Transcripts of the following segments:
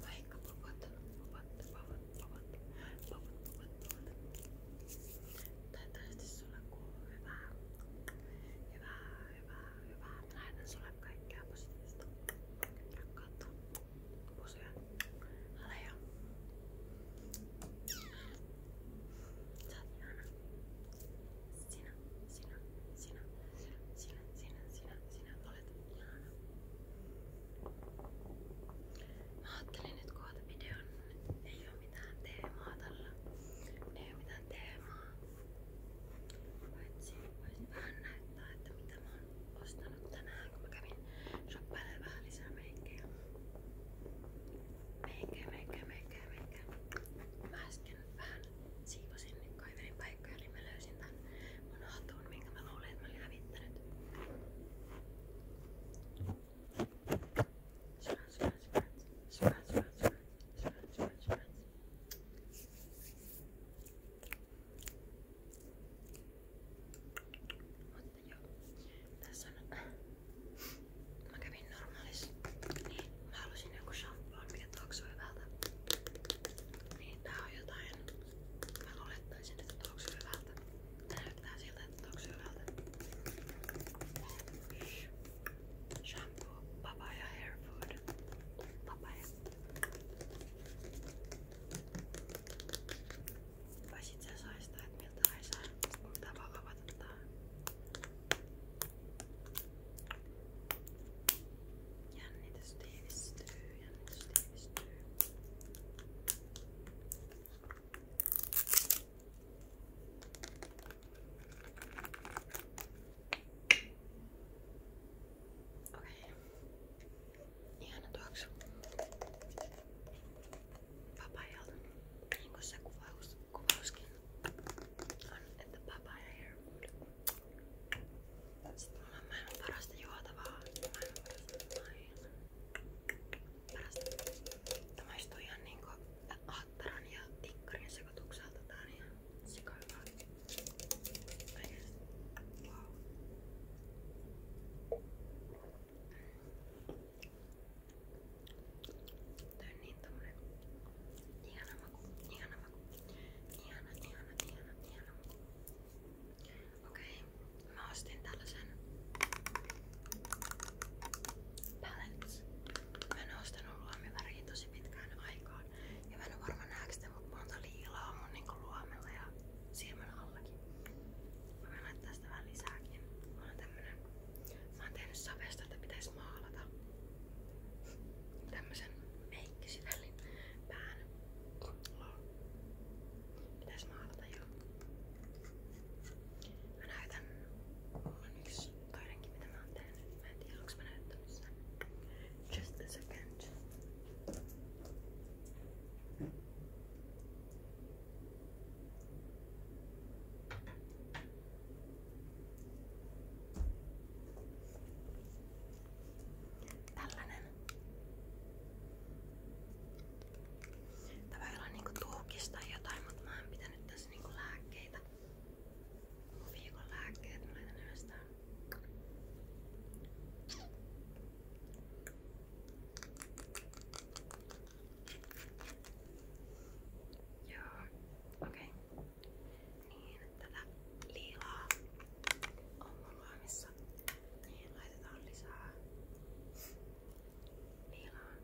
Vaikka popot, popot, popot, popot, popot, popot, popot. Toivottavasti sulla kuuluu hyvää. Hyvää, hyvää, hyvää. Mä lähetän sulle kaikkea positiivista. Rakkautta. Pusuja. Aleja. Sä oot ihana. Sinä, sinä, sinä, sinä, sinä, sinä, sinä olet ihana. Mä ajattelin nyt koota videon. Ei oo mitään teemaa tällä. Ei oo mitään teemaa. Paitsi voisin vähän näyttää, että mitä mä oon ostanut tänään, kun mä kävin shoppailemaan vähän lisää meikkejä. Meikkejä, meikkejä, meikkejä, meikkejä. Mä äsken ja vähän siivosin kaivelin paikkoja, niin mä löysin tän mun hatun, minkä mä luulin, että mä olin hävittänyt. Scratch, scratch, scratch, scratch, scratch, scratch, scratch, scratch. Mutta joo, tässä on... Mä kävin hyvin normaalis. Niin, mä halusin joku shampoo, mikä tuoksuu hyvältä. Niin, tää on jotain. Mä luulettaisin, että tuoksuu hyvältä. Tää näyttää siltä, että tuoksuu hyvältä. Shampoo, papaya hair food. Papaya. Voisit sä saistaa, että miltä haisee, kun tää vaan avata tää. Jännitys tiivistyy, jännitys tiivistyy. Okei. Ihana tuoksu. Papajalta. Niin kuin se kuvaus, kuvauskin on, että papaya hair Mä maailman parasta juotavaa. Maailman parasta maailman. Parasta. Tämä maistuu ihan niinku aatteran ja tikkarin sekoitukselta. Tää on ihan sikaivaa. Oikeesti. Wow. Tää on niin tommonen ihana maku, ihana maku, ihana, ihana, ihana, ihana maku. Okei, okay. mä ostin tällaisen palettes. Mä en ostanut luomiväriä tosi pitkään aikaan. Ja mä en oo varmaan näekö mut monta liilaa mun niinku luomilla ja silmän allakin. Mä voin laittaa sitä vähän lisääkin. Mulla on tämmönen Mä oon tehnyt savesta, että pitäisi maalata tämmösen meikkisivellin pään. Pitäis maalata jo. Mä näytän. Mulla on yksi toinenkin mitä mä oon tehnyt. Mä en tiedä onks mä näyttänyt sen. Just a second. Okei, Tällainen. Tämä ei ole niinku tuhkista jotain, mutta mä en pitänyt tässä niinku lääkkeitä. Mun viikon lääkkeet mä laitan yhdestään. Joo, okei. Okay niin tätä liilaa on mun luomissa. Niin laitetaan lisää liilaa.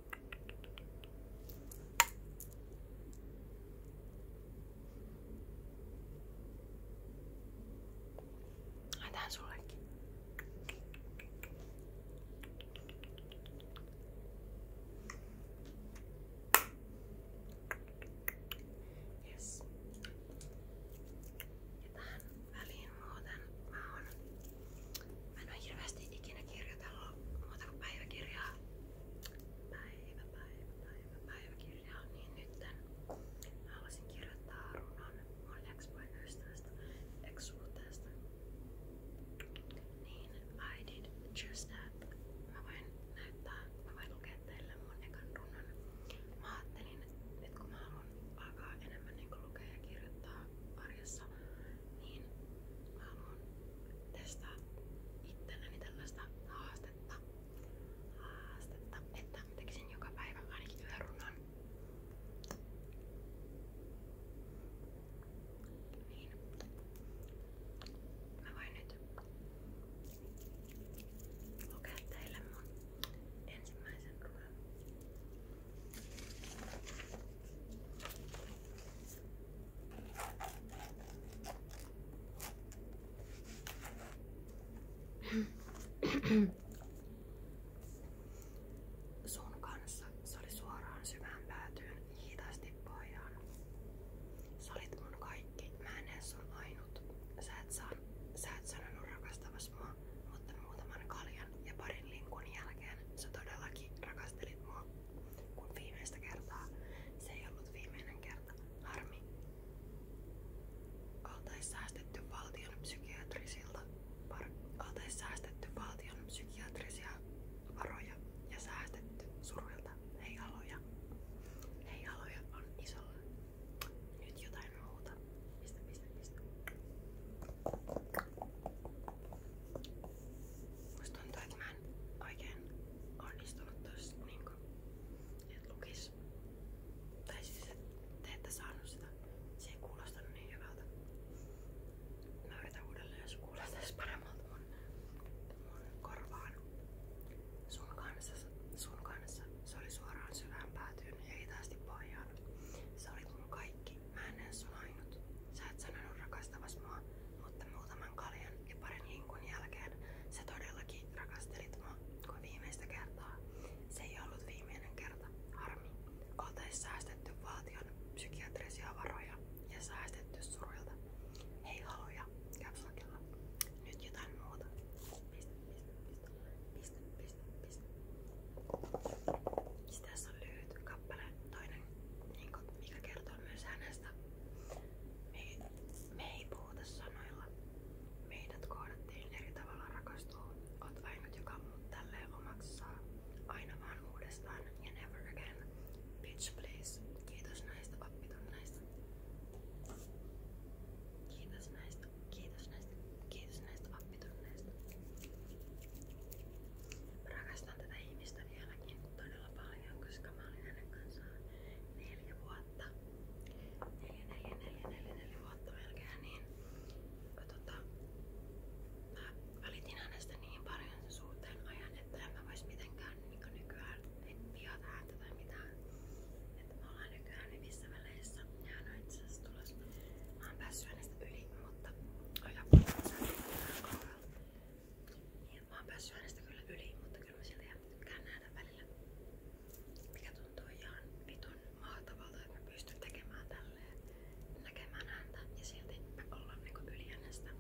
Laitan sullekin. Joo, Yes. Ja tähän väliin muuten mä oon... Mä en oo hirveästi ikinä kirjoitellut muuta kuin päiväkirjaa. Päivä, päivä, päivä, päiväkirjaa. Niin nytten mä haluaisin kirjoittaa runon mun ex-poikaystävästä, ex-suhteesta. Niin I did just that. Mä voin näyttää, mä voin lukea teille mun ekan runon. Mä ajattelin, että kun mä haluan alkaa enemmän niin lukea ja kirjoittaa arjessa, niin mä haluan testata itselleni tällaista haastetta. Haastetta, että mä tekisin joka päivä ainakin yhden runon. Niin. Mä nyt lukea ensimmäisen ruoan. Sun se oli suoraan syvään päätyyn Hitaasti pojan. Sä olit mun kaikki. Mä en edes sun ainut. Sä et, san, sä et sanonut rakastavas mua, mutta muutaman kaljan ja parin linkun jälkeen sä todellakin rakastelit mua. Kun viimeistä kertaa. Se ei ollut viimeinen kerta. Harmi. Oltais säästetty valtion psykiatrisilta. Par, oltais säästetty valtion psykiatrisia varoja ja säästetty suruilta heijaloja. Heijaloja on isolla. Nyt jotain muuta. Pistä, pistä, pistä. Musta tuntuu, että mä en oikein onnistunut tossa niinku, et lukis. Tai siis, et te ette saanut sitä. Se ei kuulostanut niin hyvältä. Mä yritän uudelleen, jos kuulostaisi paremmalta mun, mun korvaan. Sun kanssa, sun kanssa. Se suoraan syvään päätyyn ja hitaasti pohjaan. Sä mun kaikki. Mä en edes sun ainut. Sä et sanonut mutta muutaman kaljan ja parin hinkun jälkeen sä todellakin rakastelit mua kuin viimeistä kertaa. Se ei viimeinen kerta. Harmi. Oltais säästetty valtion psykiatrisia varoja ja säästetty surilta. Hei haluja, kapslakilla. Nyt jotain muuta. Piste, piste, piste, kappale, toinen, niin mikä kertoo myös hänestä. Me, me ei puhuta sanoilla. Meidät kohdattiin eri tavalla rakastuu. Oot ainut, joka muut omaksi Aina vaan uudestaan ja never again. Bitch please. Kiitos näistä oppitunneista. Kiitos näistä. Kiitos näistä. Kiitos näistä oppitunneista. Rakastan tätä ihmistä vieläkin todella paljon, koska mä olin hänen kanssaan neljä vuotta. Neljä, neljä, neljä, neljä, neljä vuotta melkein. Niin, tota, mä välitin hänestä niin paljon sen suhteen ajan, että en mä vois mitenkään niin nykyään viata häntä tai mitään. Että me ollaan nykyään hyvissä väleissä ja hän on itse asiassa tulossa. Mä oon päässyt hänestä yli, mutta oja niin, mä oon päässyt hänestä kyllä yli, mutta kyllä mä siltä ihan tykkään nähdä välillä. Mikä tuntuu ihan vitun mahtavalta, että mä pystyn tekemään tällä tälleen näkemään häntä ja silti me ollaan niinku yli hänestä.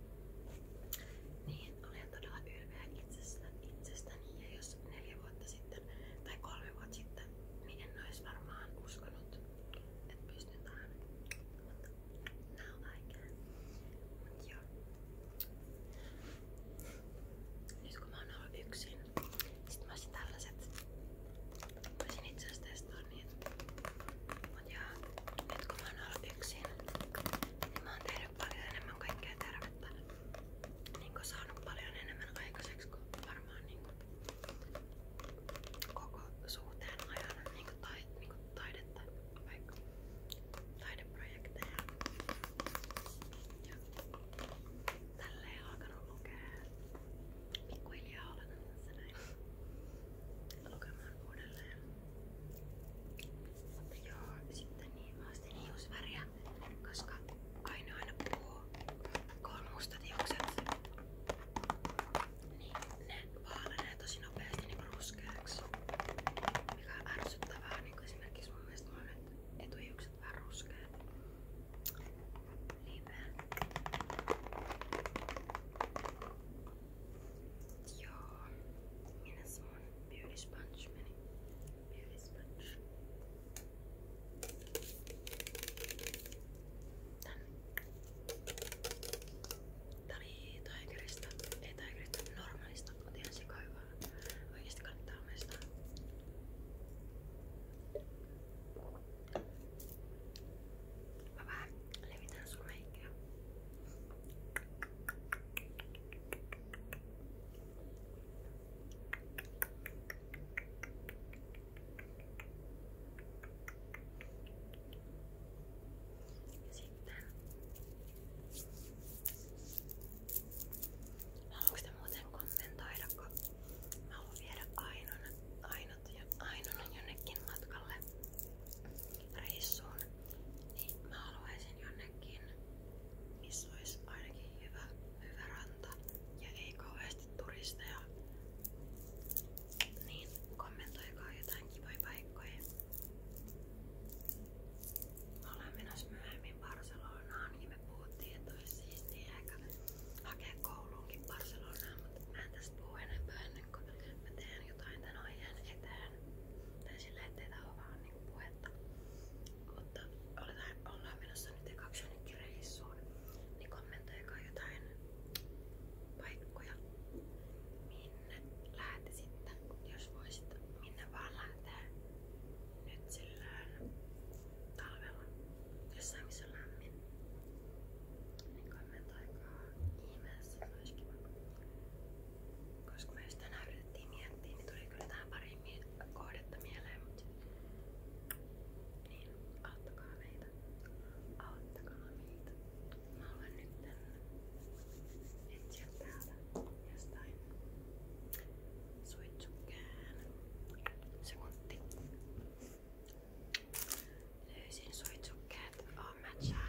Niin, olen todella ylpeä itsestä, itsestäni jos neljä vuotta sitten tai kolme vuotta sitten, niin en olisi varmaan että pystyn Mutta Nyt kun mä oon ollut yksin, sit mä olisin tällaiset, voisin itse asiassa niitä. Mut joo, nyt kun mä oon ollut yksin, niin mä oon tehnyt paljon enemmän kaikkea tervettä. Niinku saanut paljon enemmän aikaiseksi kuin varmaan niinku koko suhteen ajan niinku tai, niinku taidetta, vaikka taideprojekteja. Ja tälleen alkanut lukea pikkuhiljaa olen tässä näin lukemaan uudelleen. Mutta joo, sitten niin mä ostin hiusväriä, koska Aino aina puhuu, kun on mustat hiukset, niin ne vaalenee tosi nopeasti niin ruskeaksi. Mikä on ärsyttävää, niin esimerkiksi mun mielestä mun etuhiukset vähän ruskeat. Niin vähän Joo, minäs mun beauty sponge meni? Beauty sponge. Tänne. Tää oli Tigerista, ei Tigerista, normaalista, mutta ihan sikaivaa. Oikeesti kannattaa muistaa. Mä vähän Levitan sun meikä. Ja sitten... Haluanko te muuten kommentoida, kun mä haluan viedä aina, aina ainut ja ainoana jonnekin matkalle reissuun, niin mä haluaisin jonnekin, missä olisi ainakin hyvä, hyvä ranta ja ei kauheasti turisteja. Niin kommentoikaa jotain kivoja paikkoja. Mä olen menossa myöhemmin Barcelonaan ja me puhuttiin, että olisi siistiä ehkä hakea kouluunkin Barcelonaan, mutta mä en tästä puhu enempää ennen kuin mä teen jotain tän aiheen eteen. Tai silleen, ettei tää oo vaan niinku puhetta. Mutta oletaan, ollaan menossa nyt ekaksi jonnekin reissuun, niin kommentoikaa jotain paikkoja, minne lähtisitte, jos voisitte, minne vaan lähtee nyt silleen talvella, jossain missä on lämmin. Niin kommentoikaa ihmeessä, se olisi kiva. Koska me just tänään yritettiin miettiä, niin tuli kyllä tähän pari kohdetta mieleen, mutta niin, auttakaa meitä. Auttakaa meitä. Mä haluan nyt etsiä täältä jostain suitsukkeen sekunti. Löysin suitsukkeet, on matchaa.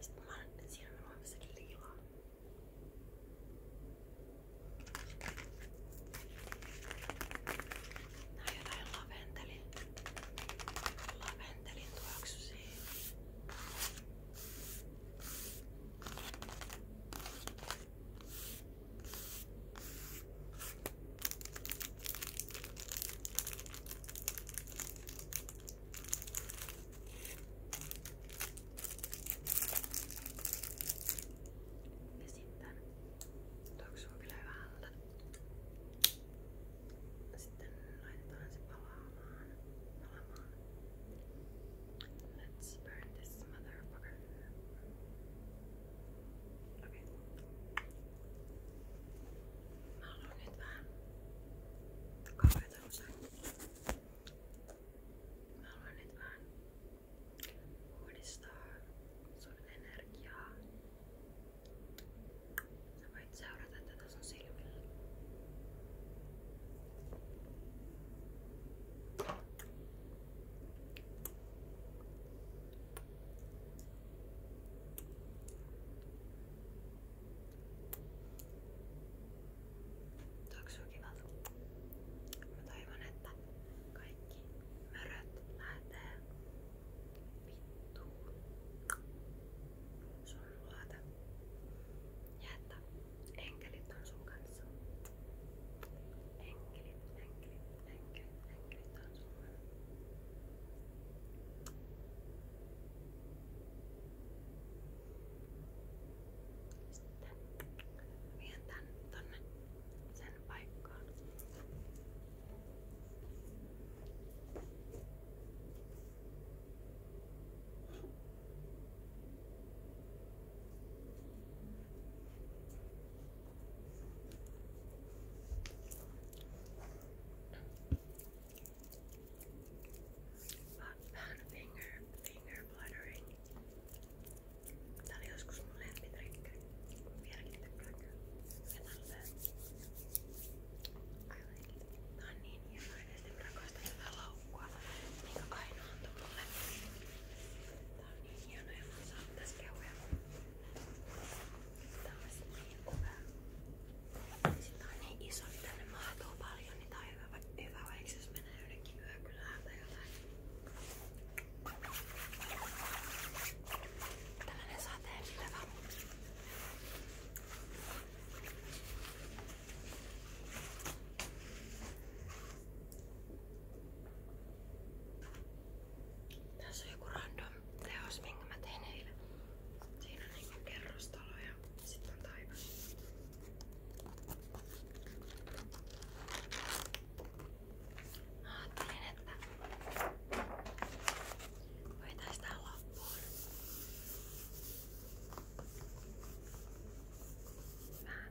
Sitten mä olen, siinä on huomissakin liilaa. Nää on jotain laventelin, laventelin tuoksusia. Ja sitten tuoksuu kyllä hyvältä. Sitten laitetaan se palaamaan. palaamaan. Let's burn this motherfucker. Okei. Mä haluan nyt vähän kauheeta usein. Mä haluan nyt vähän uudistaa sun energiaa. Sä voit seurata tätä sun silmillä. Mä Tuoksu kivalta. Mä toivon, että kaikki möröt lähtee vittuun sun luota. Ja että enkelit on sun kanssa. Enkelit, enkelit, äckligt, äckligt alltså. Sitten vien tän tonne sen paikkaan. Sitten Vähän finger, finger fluttering. Tää oli joskus mun lempitrikki. Vieläkin tykkään kyllä. Ja tälleen. I like it. Tää on niin hieno. Oikeesti mä rakastan tätä laukkua. Minkä Kaino antoi mulle on hienoja saappaskeuja. Tää on sitten niin hyvä. Sitten siis niin siis on niin iso, niin tänne mahtuu paljon, niin tää on hyvä, hyvä vaikka jos menee jonnekin yökylään tai jotain. Tällainen sateen pitävä. Täällä tässä on joku random teos, minkä mä tein eilen. Siinä on niinku kerrostalo ja sitten on taivas. Mä ajattelin, että voitais tää loppuun. Vähän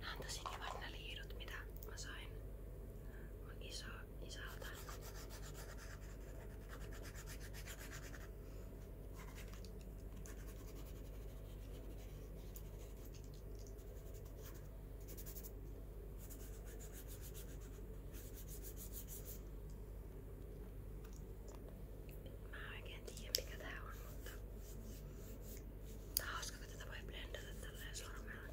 Nämä on tosi kivat nää liirut, mitä mä sain. On isoa isältä. Mä en oikein tiedä mikä tää on, mutta tää on hauska kun tätä voi blendata tälleen sormella.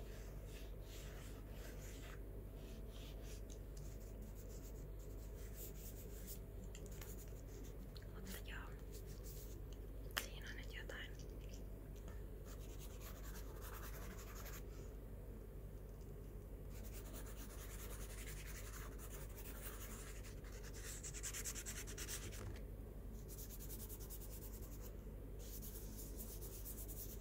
Mutta joo, siinä on nyt jotain. Joo,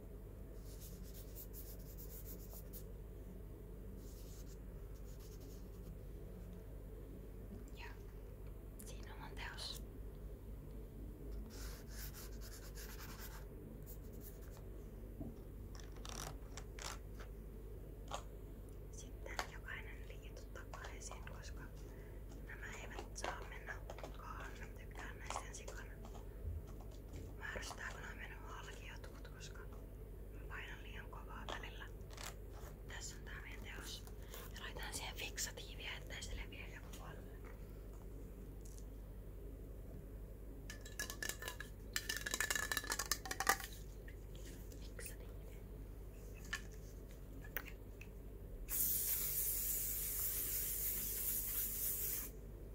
Ja siinä on mun teos. Sitten jokainen liitu takaisin, koska nämä eivät saa mennä hukkaan. Tykkään näistä sikana. Mä ärsytää kun on mennyt halki jotkut, koska mä painan liian kovaa välillä. Tässä on tää meidän teos. Ja laitan siihen fiksatiiviä, ettei se leviä joka puolelle. Fiksatiivi. Tää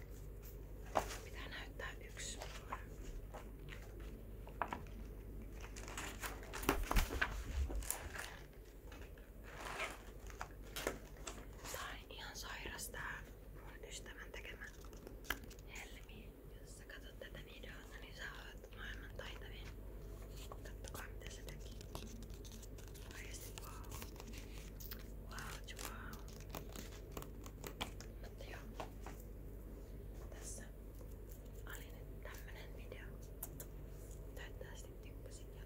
Pitää näyttää yksi mulle. Tää on ihan sairas tää mun ystävän tekemä helmi. Jos sä katsot tätä videota, niin sä oot maailman taitavin. Kattokaa mitä se teki. Oikeesti wow. Wow, wow. Mutta joo, tässä oli nyt tämmönen video. Toivottavasti tykkäsit ja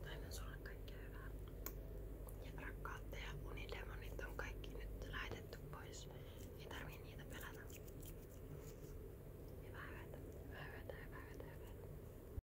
toivon sulle kaikkea hyvää. Ja rakkautta ja unidemonit on kaikki nyt lähetetty pois. Ei tarvii niitä pelätä. Hyvää yötä, hyvää yötä, hyvää yötä, hyvää yötä.